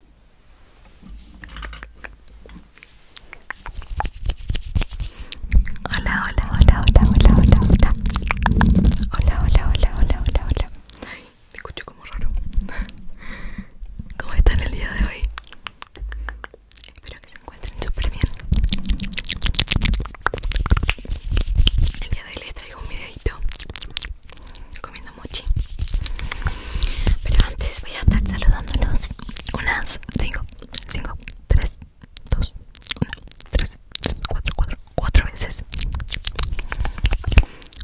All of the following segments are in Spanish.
Hola, hola, hola, hola, hola, hola, hola. Hola, hola, hola, hola, hola, hola. escucho como raro. ¿Cómo están el día de hoy? Espero que se encuentren súper bien. El día de hoy les traigo un videito mucho, mochi Pero antes voy a estar saludándolos Unas 5, 5, 3, 2, 1, 3, 3, 4, 4, 4 veces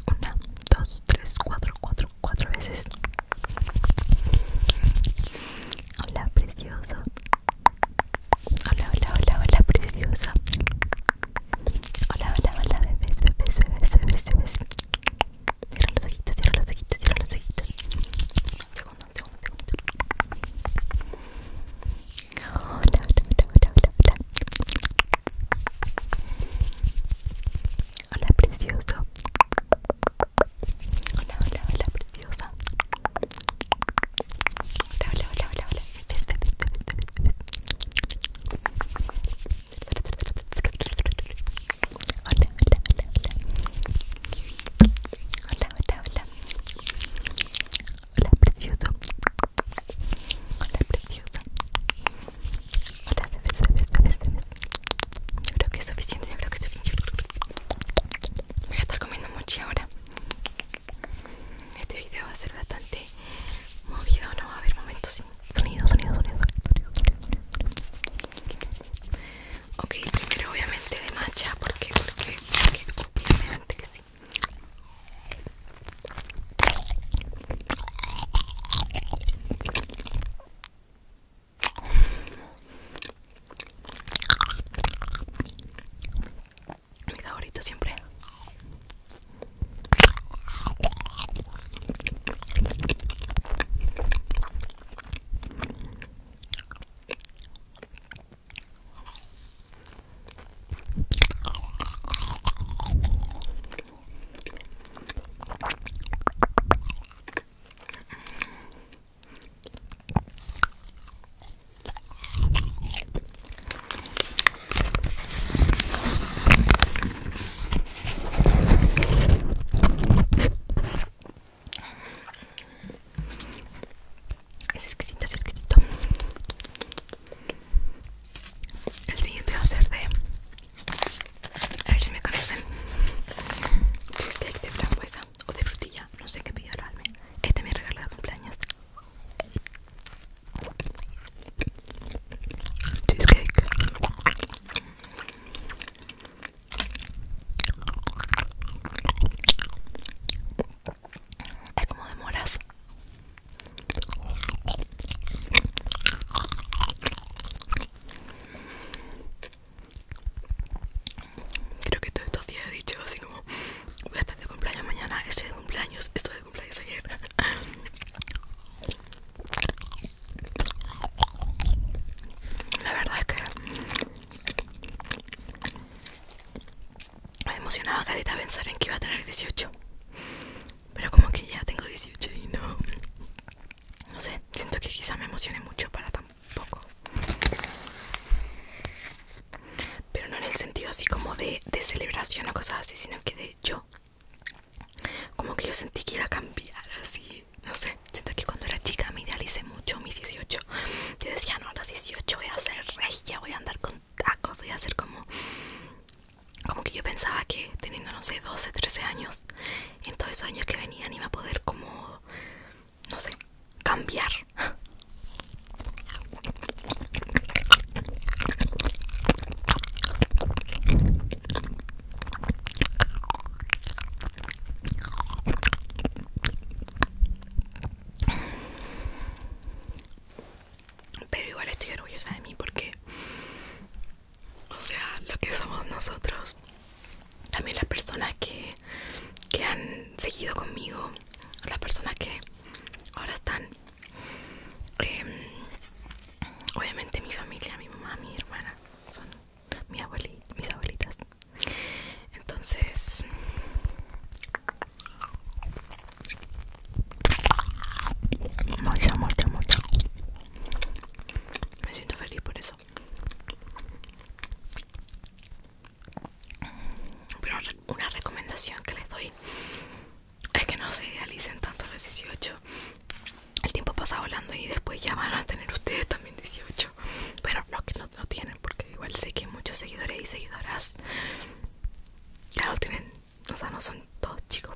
1, 2, 3, 4, 4, 4 veces Hola precioso Hola, hola, hola, hola preciosa Hola, hola, hola, bebés, bebés, los ojitos, los ojitos, los ojitos. Un segundo, un segundo, un segundo. Hola, hola, hola, hola, hola, precioso. Hola, hola, hola, preciosa. Hola, hola, hola, hola, hola. Hola, hola, hola, hola. Hola, hola, hola. precioso. Hola, precioso. Hola, bebés, bebés, bebés, Yo creo que es suficiente, yo creo que es suficiente. Voy a estar comiendo mucho ahora. Este video va a ser bastante este, movido, no va a haber momentos sin sonido, sonido, sonido, sonido, sonido, obviamente de matcha, porque, porque, porque obviamente que sí mi favorito siempre es exquisito, es exquisito. El siguiente va a ser de. A ver si me conocen. Cheesecake de frambuesa o de frutilla. No sé qué pidió el alma. Este me regaló de cumpleaños. Cheesecake. Es como de moras creo que todos estos días he dicho así como voy a estar de cumpleaños mañana, estoy de cumpleaños, estoy de cumpleaños ayer. La verdad es que me emocionaba Carita pensar en que iba a tener 18. Pero como que ya tengo 18 y no... No sé, siento que quizá me emocione mucho para tampoco pero no en el sentido así como de, celebración o cosas así, sino que de yo. Como que yo sentí que iba a cambiar así, no sé, siento que cuando era chica me idealicé mucho mis 18. Yo decía, no, a los 18 voy a ser regia, voy a andar con tacos, voy a ser como... Como que yo pensaba que teniendo, no sé, 12, 13 años, en todos esos años que venían iba a poder como no sé, cambiar. Pero igual estoy orgullosa de mí porque, o sea, lo que somos nosotros también las personas que, han seguido conmigo, las personas que ahora están, em, obviamente mi familia, mi mamá, mi hermana, son mi mis abuelitas. Entonces, mucho mucho mucho Me siento feliz por eso. Pero una recomendación que les doy es que no se idealicen tanto a los 18. El tiempo pasa volando y después ya van a tener ustedes también 18. Pero los que no, tienen, porque igual sé que muchos seguidores y seguidoras ya lo tienen, o sea, no son todos chicos.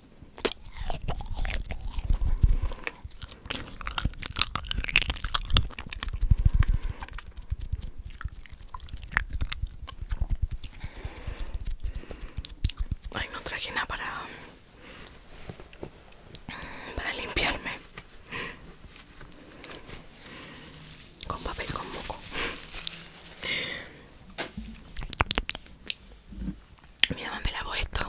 Ay, no traje nada para para limpiarme con papel con moco. Mi mamá me lavó esto.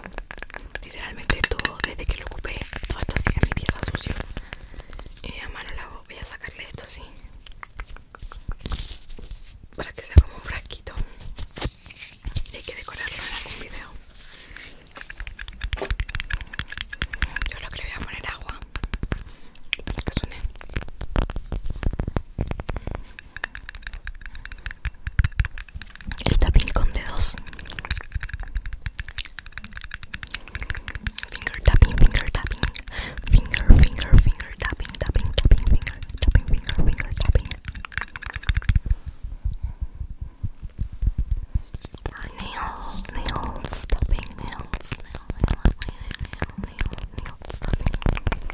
Literalmente todo desde que lo ocupé. Todo esto sigue mi pieza sucio. Y mi mamá lo lavo Voy a sacarle esto así. Para que sea como un frasquito. Y hay que decorarlo en algún video. Yo lo que le voy a poner agua. Para que suene el tapping con dedos finger tapping finger tapping finger finger finger tapping tapping tapping finger tapping finger finger tapping nails nails tapping nails nail nails, nails, nails,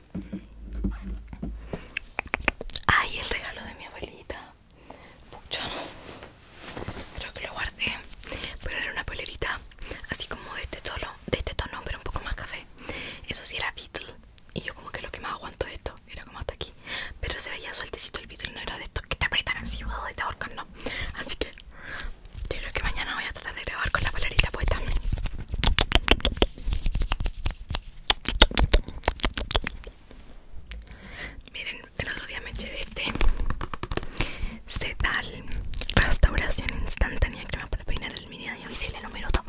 Ay, el regalo de mi abuelita. Pucha, creo que lo guardé. Pero era una polerita así como de este tono, de este tono, pero un poco más café. Eso sí era beetle Y yo como que lo que más aguanto de esto era como hasta aquí. Pero se veía sueltecito el beetle no era de estos que te apretan así, de oh, te ahorcan, no. Así que yo creo que mañana voy la de grabar con la palerita puesta. Miren, el otro día me eché de este Sedal Restauración Instantánea Crema para peinar el mini daño visible número minuto.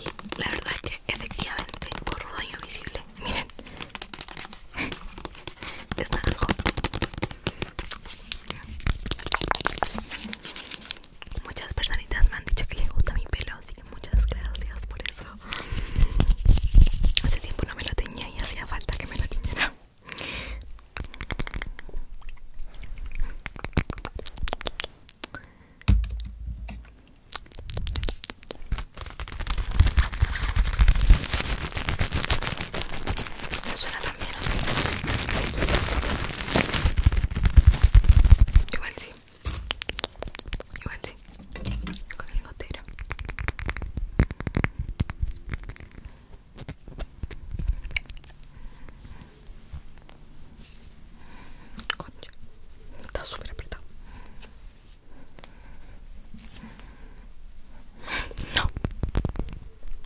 Y la verdad que efectivamente borro daño visible Miren Es naranjo muchas personas me han dicho que les gusta mi pelo, así que muchas gracias por eso. Hace tiempo no me lo tenía y hacía falta que me lo teñiera también, Igual Con el gotero. Concha. Está súper apretado. No.